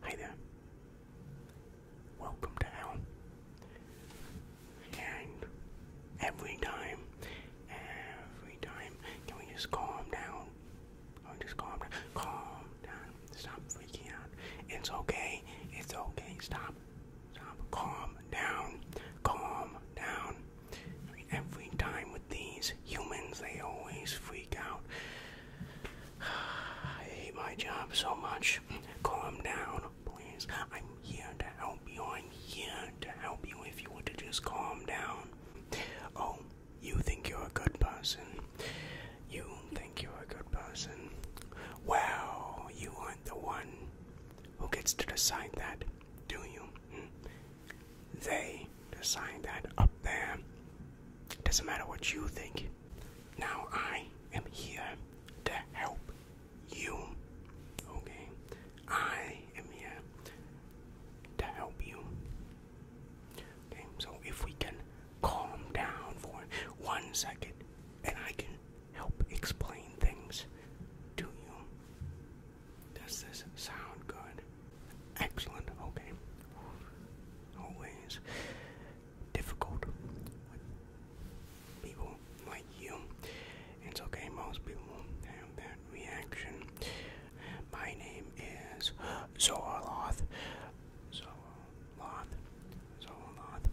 Hi there. Welcome to hell. And every time, every time, can we just calm down? Oh, just calm down. Calm down. Stop freaking out. It's okay. It's okay. Stop. Stop. Calm down. Calm down. Every time with these humans, they always freak out. I hate my job so much. Calm down, please. I'm here to help you. I'm here to help you if you want to just calm down. Oh, you think you're a good person. You think you're a good person. Well, you aren't the one who gets to decide that, do you? Hmm? They sign that up there. Doesn't matter what you think. Now I am here to help you. Okay? I am here to help you. Okay, so if we can calm down for one second and I can help explain things to you. Does this sound good? Excellent. Okay. Always difficult people like you. It's okay. Most people have that reaction. My name is Zorloth. Zorloth. Zorloth.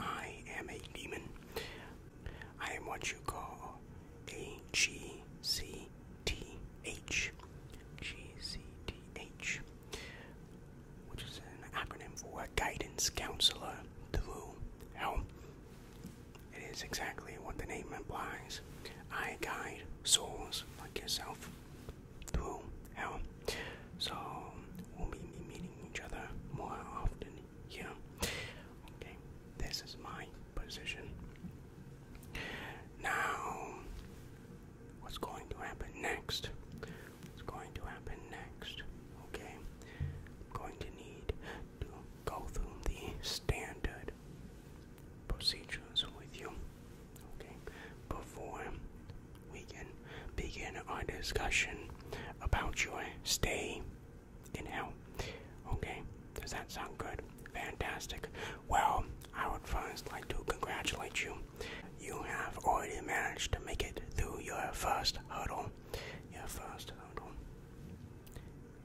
I am a demon. I am what you call a G C T H, which is an acronym for Guidance Counselor Through hell. It is exactly what the name implies. I guide souls like yourself through hell. So we'll be meeting each other more often here. Okay, this is my position. Now, what's going to happen next? What's going to happen next? Okay, I'm going to need to go through the standard procedures with you, okay, before we can begin our discussion about your stay in hell. Okay, does that sound good? Fantastic. Well, I would first like to congratulate you. You have already managed to make it through your first hurdle. Your first hurdle.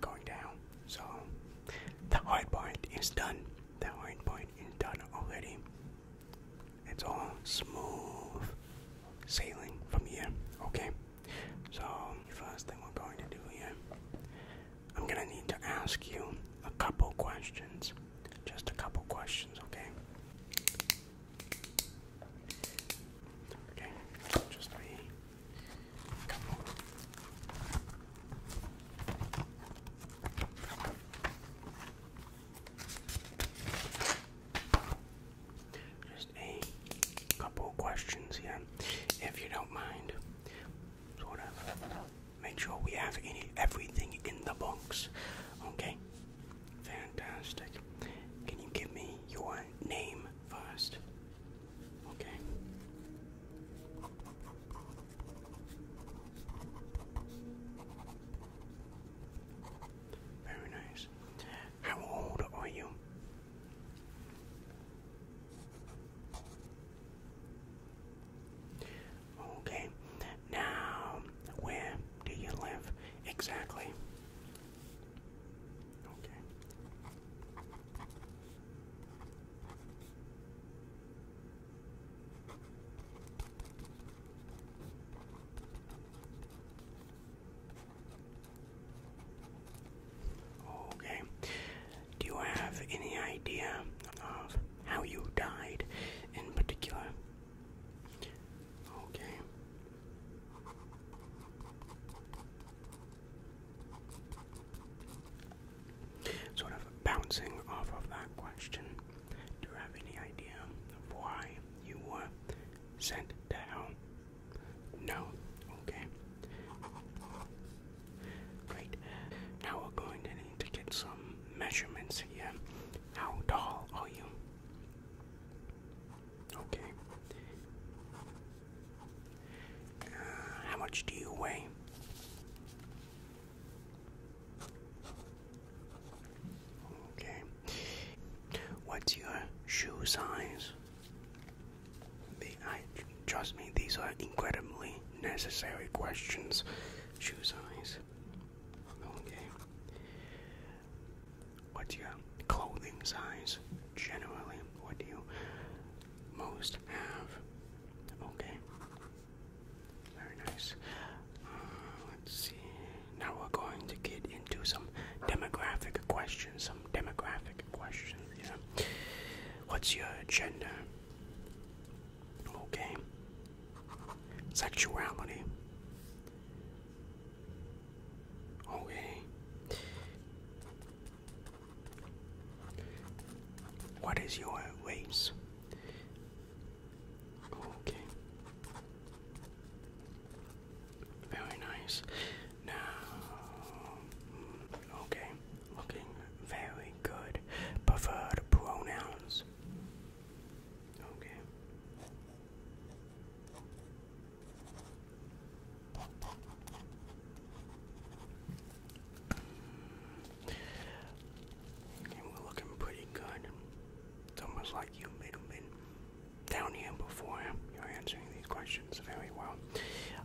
Going down. So, the hard part is done. The hard part is done already. It's all smooth sailing from here, okay? So, first thing we're going to do here, I'm gonna need to ask you a couple questions. Just a couple questions, okay? Okay, just a Just a couple questions here, if you don't mind. Sort of. Make sure we have any everything in the box. Okay? Fantastic. Can you give me your name first? Okay. Very nice. How old are you? Okay, now where do you live exactly? Okay. Okay. Do you have any idea of how you died in particular? Okay. Sort of bouncing off of that question, do you have any idea of why you were sent to hell? No? Okay. Great. Now we're going to need to get some measurements here. How tall are you? Okay. Uh, how much do you weigh? Okay. What's your shoe size? trust me, these are incredibly necessary questions. Shoe size. Okay. What's your clothing size generally? What do you most have? Okay. Very nice. Uh, let's see. Now we're going to get into some demographic questions. Some demographic questions. Yeah. What's your gender? Okay. Sexuality. Okay. What is your race? Okay. Very nice. Now, mm, okay, looking very good preferred pronouns. Okay. we're looking pretty good. It's almost like you've been, down here before. You're answering these questions very well.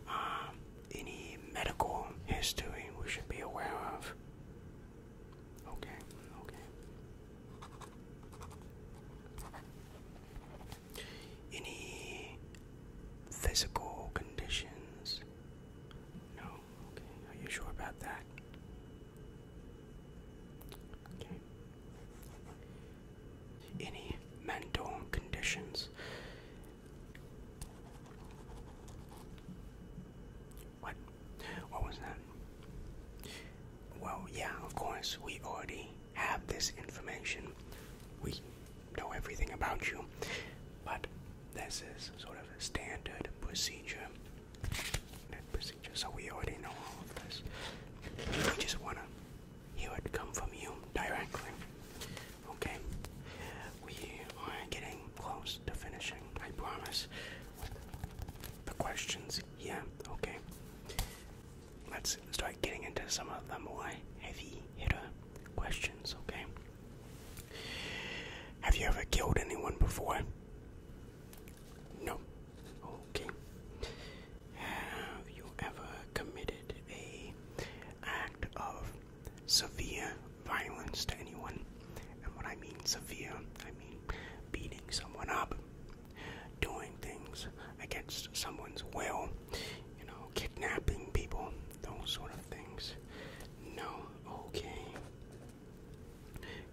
Um, any medical history we should be aware of? Okay, okay. Any physical conditions? No? Okay, are you sure about that? Okay. Any mental conditions? What? What was that? Well, yeah, of course, we already have this information. We know everything about you, but this is sort of a standard procedure. Procedure, so we already know all of this. We just wanna hear it come from you directly. Okay, we are getting close to finishing, I promise, the questions. Yeah, okay. Let's start getting into some of the more heavy hitter questions, okay? Have you ever killed anyone before? No. Okay. Have you ever committed a act of severe violence to anyone. And what I mean severe, I mean beating someone up, doing things against someone's will, you know, kidnapping people, those sort of things. No, okay.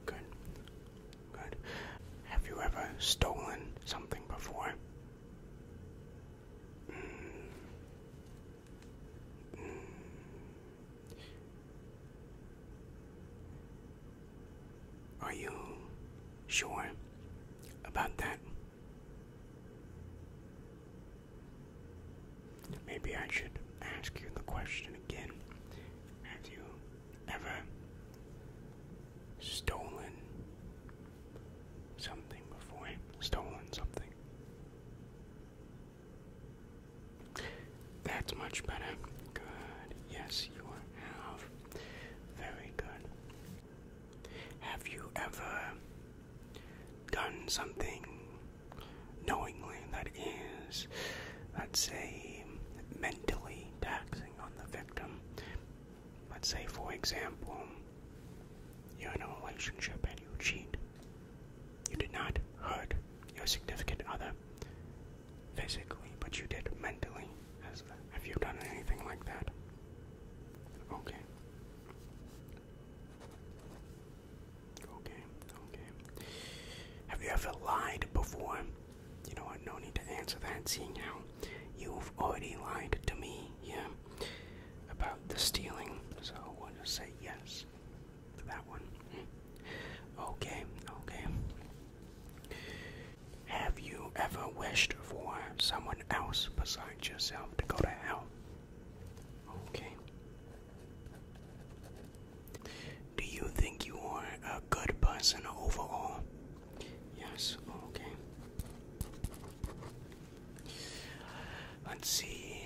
Good. Good. Have you ever stolen something before? Mm. Are you sure about that? Maybe I should ask you the question again. Have you ever stolen something before? Stolen something? That's much better. Good. Yes, you have. Very good. Have you ever done something knowingly that is, let's say, mentally taxing on the victim? Let's say, for example, you're in a relationship and you cheat. You did not hurt your significant other physically, but you did mentally. have you done anything like that? Okay. Okay, okay. Have you ever lied before? You know what? No need to answer that, seeing how you've already lied to me. Yeah about the stealing, so we'll just say yes to that one. Okay, okay. Have you ever wished for someone else besides yourself to go to hell? Okay. Do you think you are a good person overall? Yes, okay. Let's see.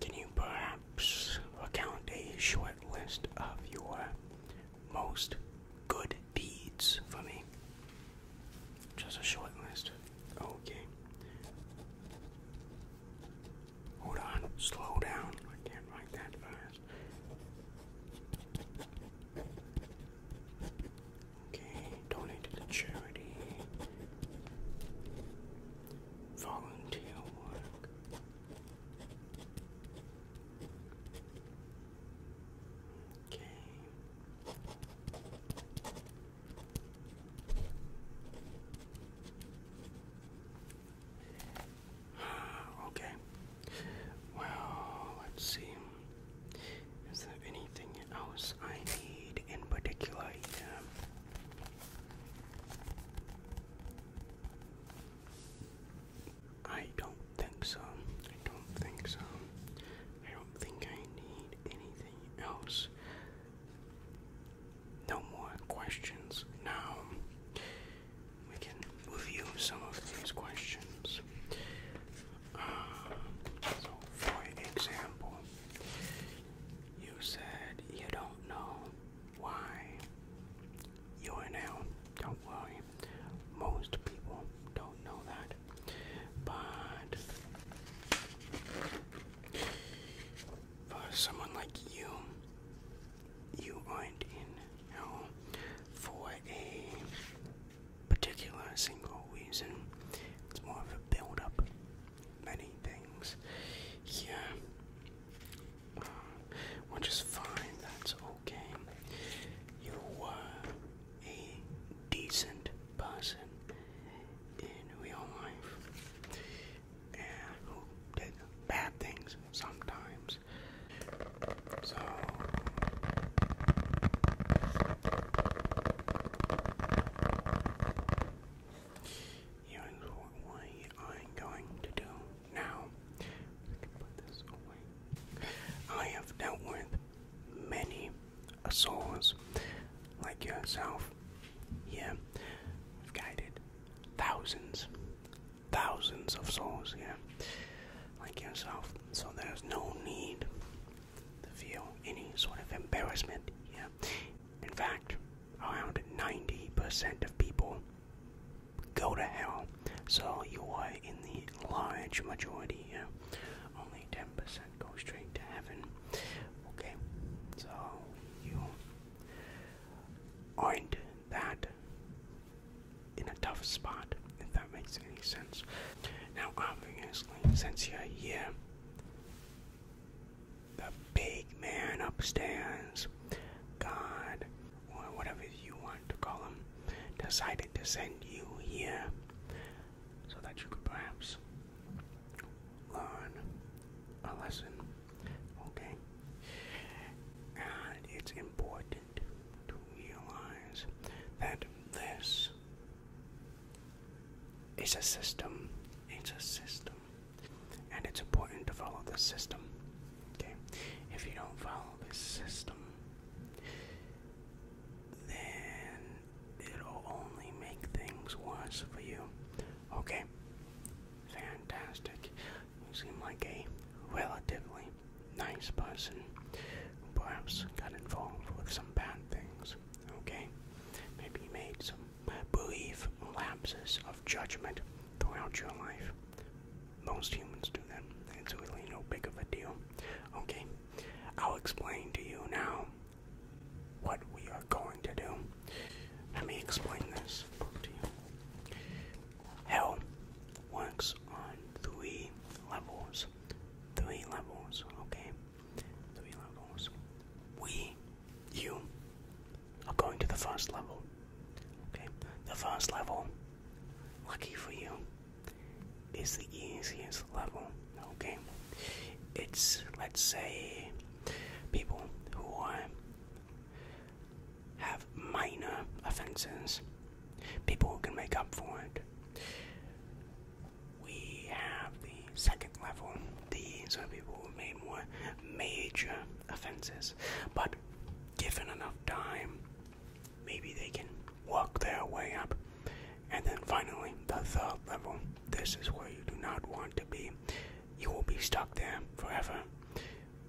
Can you perhaps account a short list of your most good deeds for me? Just a short list. Okay. Hold on. Slow down. I can't write that fast. Okay, donated to charity. Volunteer work. Okay. Okay. Well, let's see. Is there anything else I need in particular I don't think so. I don't think so. I don't think I need anything else. No more questions. Now we can review some of these questions. Uh, so, for example, you said you don't know why you're now. Don't worry. Most people don't know that. But for someone like you, you aren't in hell for a particular single reason. It's more of a build up many things. Yeah. which uh, is fine, that's okay. You were a decent person in real life and who did bad things sometimes. So Here's what we are going to do now. I have dealt with many souls like yourself. Yeah, I've guided thousands, thousands of souls. Yeah, like yourself. So there's no need feel any sort of embarrassment. Yeah, in fact, around 90% of people go to hell. So you are in the large majority. Yeah, only 10% go straight to heaven. Okay, so you are that in a tough spot, if that makes any sense. Now, obviously, since you're here. The big man upstairs, God, or whatever you want to call him, decided to send you here so that you could perhaps learn a lesson. Okay? And it's important to realize that this it's a system. It's a system. And it's important to follow the system. Okay? If you don't follow the system, then it'll only make things worse for you. Okay? Fantastic. You seem like a relatively nice person who perhaps got involved with some bad things. Okay? Maybe you made some belief lapses of judgment throughout your life. Most humans do that. It's really no big of a deal. Okay? I'll explain to you now what we are going to do. Let me explain this to you. Hell works on three levels. Three levels, okay? Doing levels. We, you, are going to the first level. Okay, the first level, lucky for you, is the easiest level. Okay, it's let's say people who are have minor offenses, people who can make up for it we have the second level. These are people who made more major offenses, but given enough time, maybe they can work their way up. And then finally, the third level. This is where you do not want to be. You will be stuck there forever.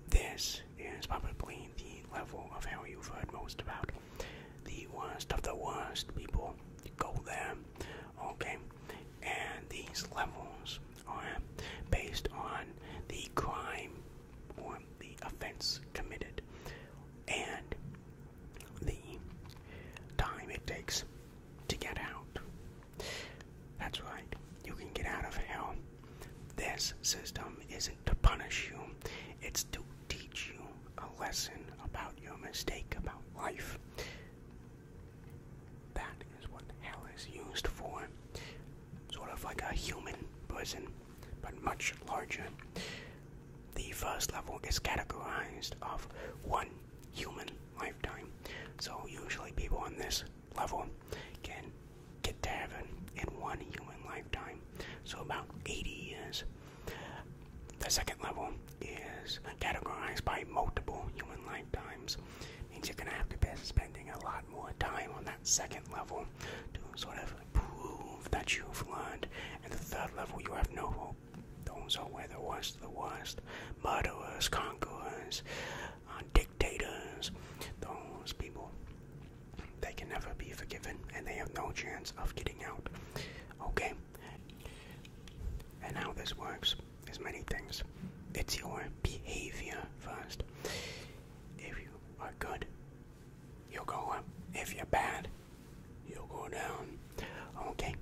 This is probably the level of hell you've heard most about the worst of the worst people go there, okay? And these levels are based on the crime or the offense committed and the time it takes to get out. That's right, you can get out of hell. This system isn't to punish you, it's to teach you a lesson about your mistake, about life. That is what hell is used for. Sort of like a human prison, but much larger. The first level is categorized of one human lifetime. So usually people on this level can get to heaven in one human lifetime. So about 80 years. The second level is categorized by multiple human lifetimes. Means you're gonna have to be spending a lot more time on that second level to sort of prove that you've learned. And the third level, you have no hope. Those who were the worst the worst murderers, conquerors, uh, dictators, those people. They can never be forgiven and they have no chance of getting out. Okay, and how this works is many things. It's your behavior first. If you are good, you'll go up. If you're bad, you'll go down. Okay?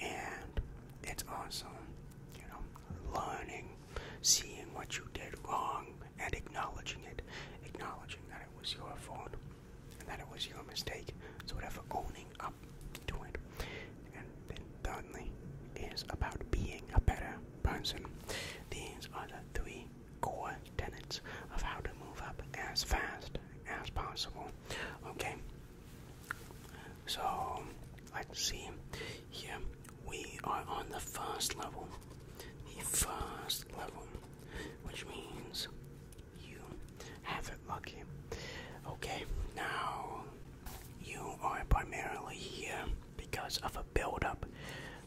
And it's awesome, you know, learning, seeing what you did wrong, and acknowledging it. Acknowledging that it was your fault and that it was your mistake, so of owning up to it. And then thirdly is about being a better person. These are the three core tenets of how to move up as fast as possible. Okay. So let's see. Here we are on the first level. The first level, which means you have it lucky. Okay, now you are primarily here because of a build up.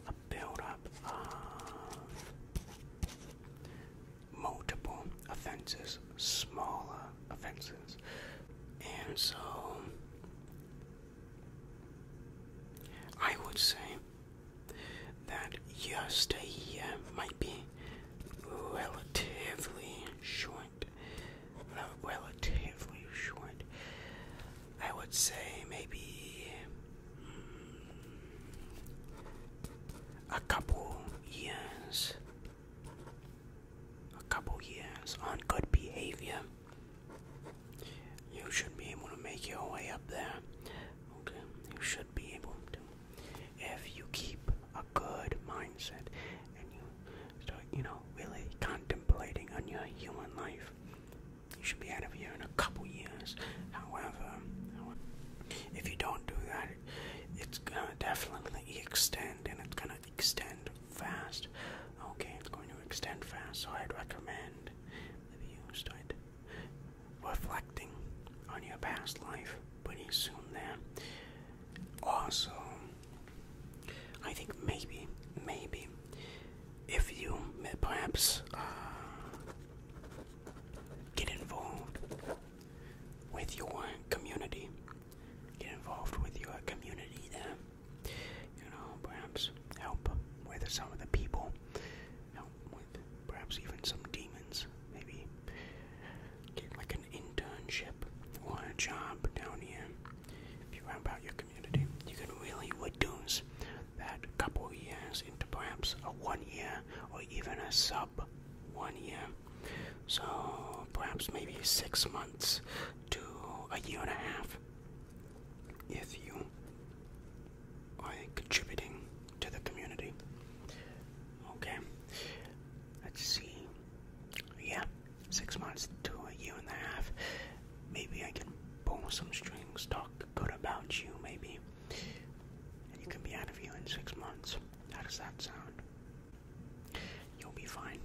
A build up of multiple offenses, smaller offenses. And so I would say that your stay here uh, might be relatively short. relatively short. I would say maybe mm, a couple years. A couple years on good behavior. You should be able to make your way up there. Okay, you should be able to if you keep a good mindset and you start, you know, really contemplating on your human life, you should be out of here in a couple years. However, if you don't do that, it's gonna definitely extend and it's gonna extend fast. Okay, it's going to extend fast, so I'd recommend that you start reflecting on your past life pretty soon there. Also, I think maybe, maybe, if you perhaps uh, get involved with your community, get involved with your community there, you know, perhaps help with some of the people with perhaps even some demons. Maybe get like an internship or a job down here. If you round about your community, you can really reduce that couple years into perhaps a one year or even a sub one year. So perhaps maybe six months to a year and a half if you by contributing to the community. Okay, let's see. Yeah, six months to a year and a half. Maybe I can pull some strings, talk good about you, maybe. you can be out of here in six months. How does that sound? You'll be fine.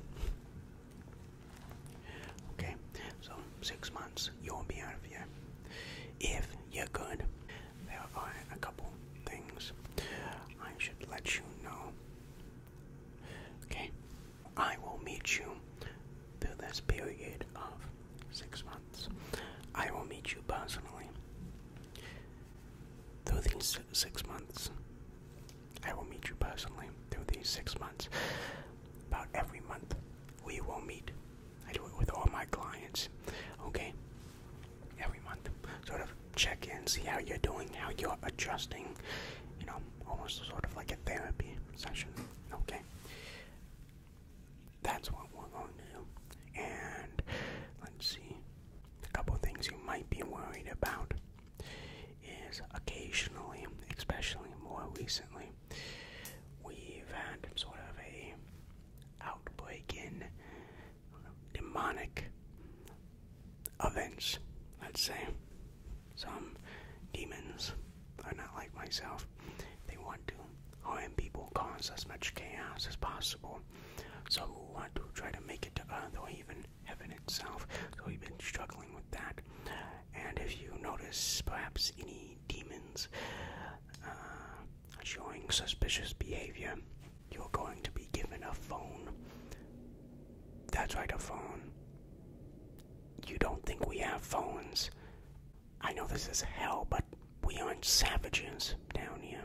Okay, so six months, you'll be out of here if you're good. There are a couple things I should let you know. Okay, I will meet you through this period of six months. I will meet you personally. Through these six months, I will meet you personally. Through these six months, about every month, we will meet I do it with all my clients. Okay? Every month. Sort of check in, see how you're doing, how you're adjusting. You know, almost sort of like a therapy session. Okay? That's what we're going to do. And let's see. A couple things you might be worried about is occasionally, especially more recently, we've had sort of a outbreak in demonic events, let's say. Some demons are not like myself. They want to harm people, cause as much chaos as possible. So Some want to try to make it to earth or even heaven itself. So we've been struggling with that. And if you notice, perhaps any demons uh, showing suspicious behavior, you're going to be given a phone. That's right, a phone. You don't think we have phones. I know this is hell, but we aren't savages down here.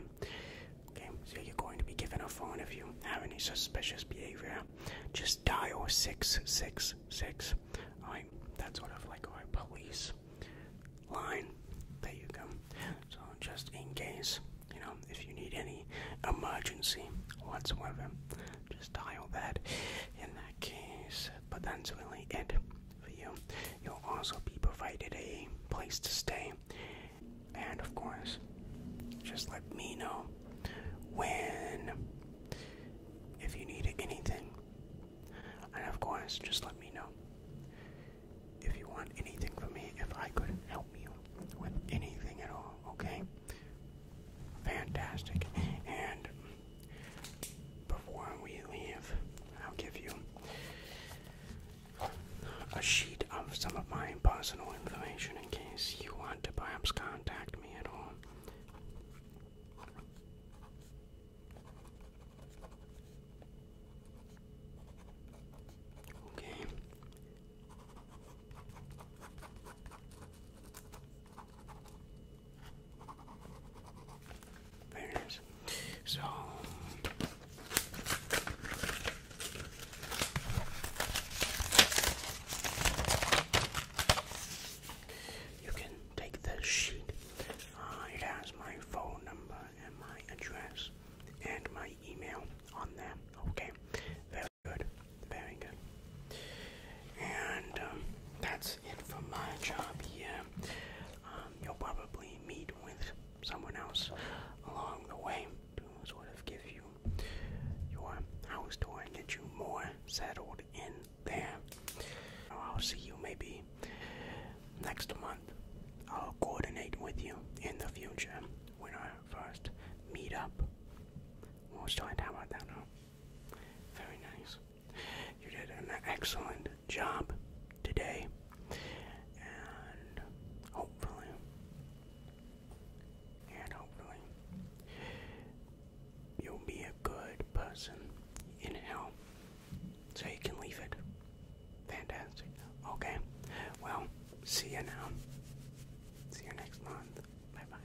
Okay, so you're going to be given a phone if you have any suspicious behavior. Just dial 666. Alright, that's what I've like All right, police line. There you go. So just in case, you know, if you need any emergency whatsoever, just dial that in that case. But that's really it for you. You'll also be provided a place to stay. And of course, just let me know when if you need anything and of course, just let me know if you want anything from me, if I could help you with anything at all, okay? Fantastic. And before we leave, I'll give you a sheet of some of my personal information in case you want to perhaps contact me at all. Okay. Very So you can take the sheet. Uh, it my phone number and my address and my email on them. Okay, very good, very good. And um, that's it for my job Yeah, Um, you'll probably meet with someone else along the way to sort of give you your house tour and get you more settled in there. I'll see you maybe next month. I'll coordinate with you in the future when I first meet up. We'll how about that now. Very nice. You did an excellent job today, and hopefully, and hopefully, you'll be a good person in hell. So you can leave it. Fantastic. Okay. Well, see you now. See you next month. Bye bye.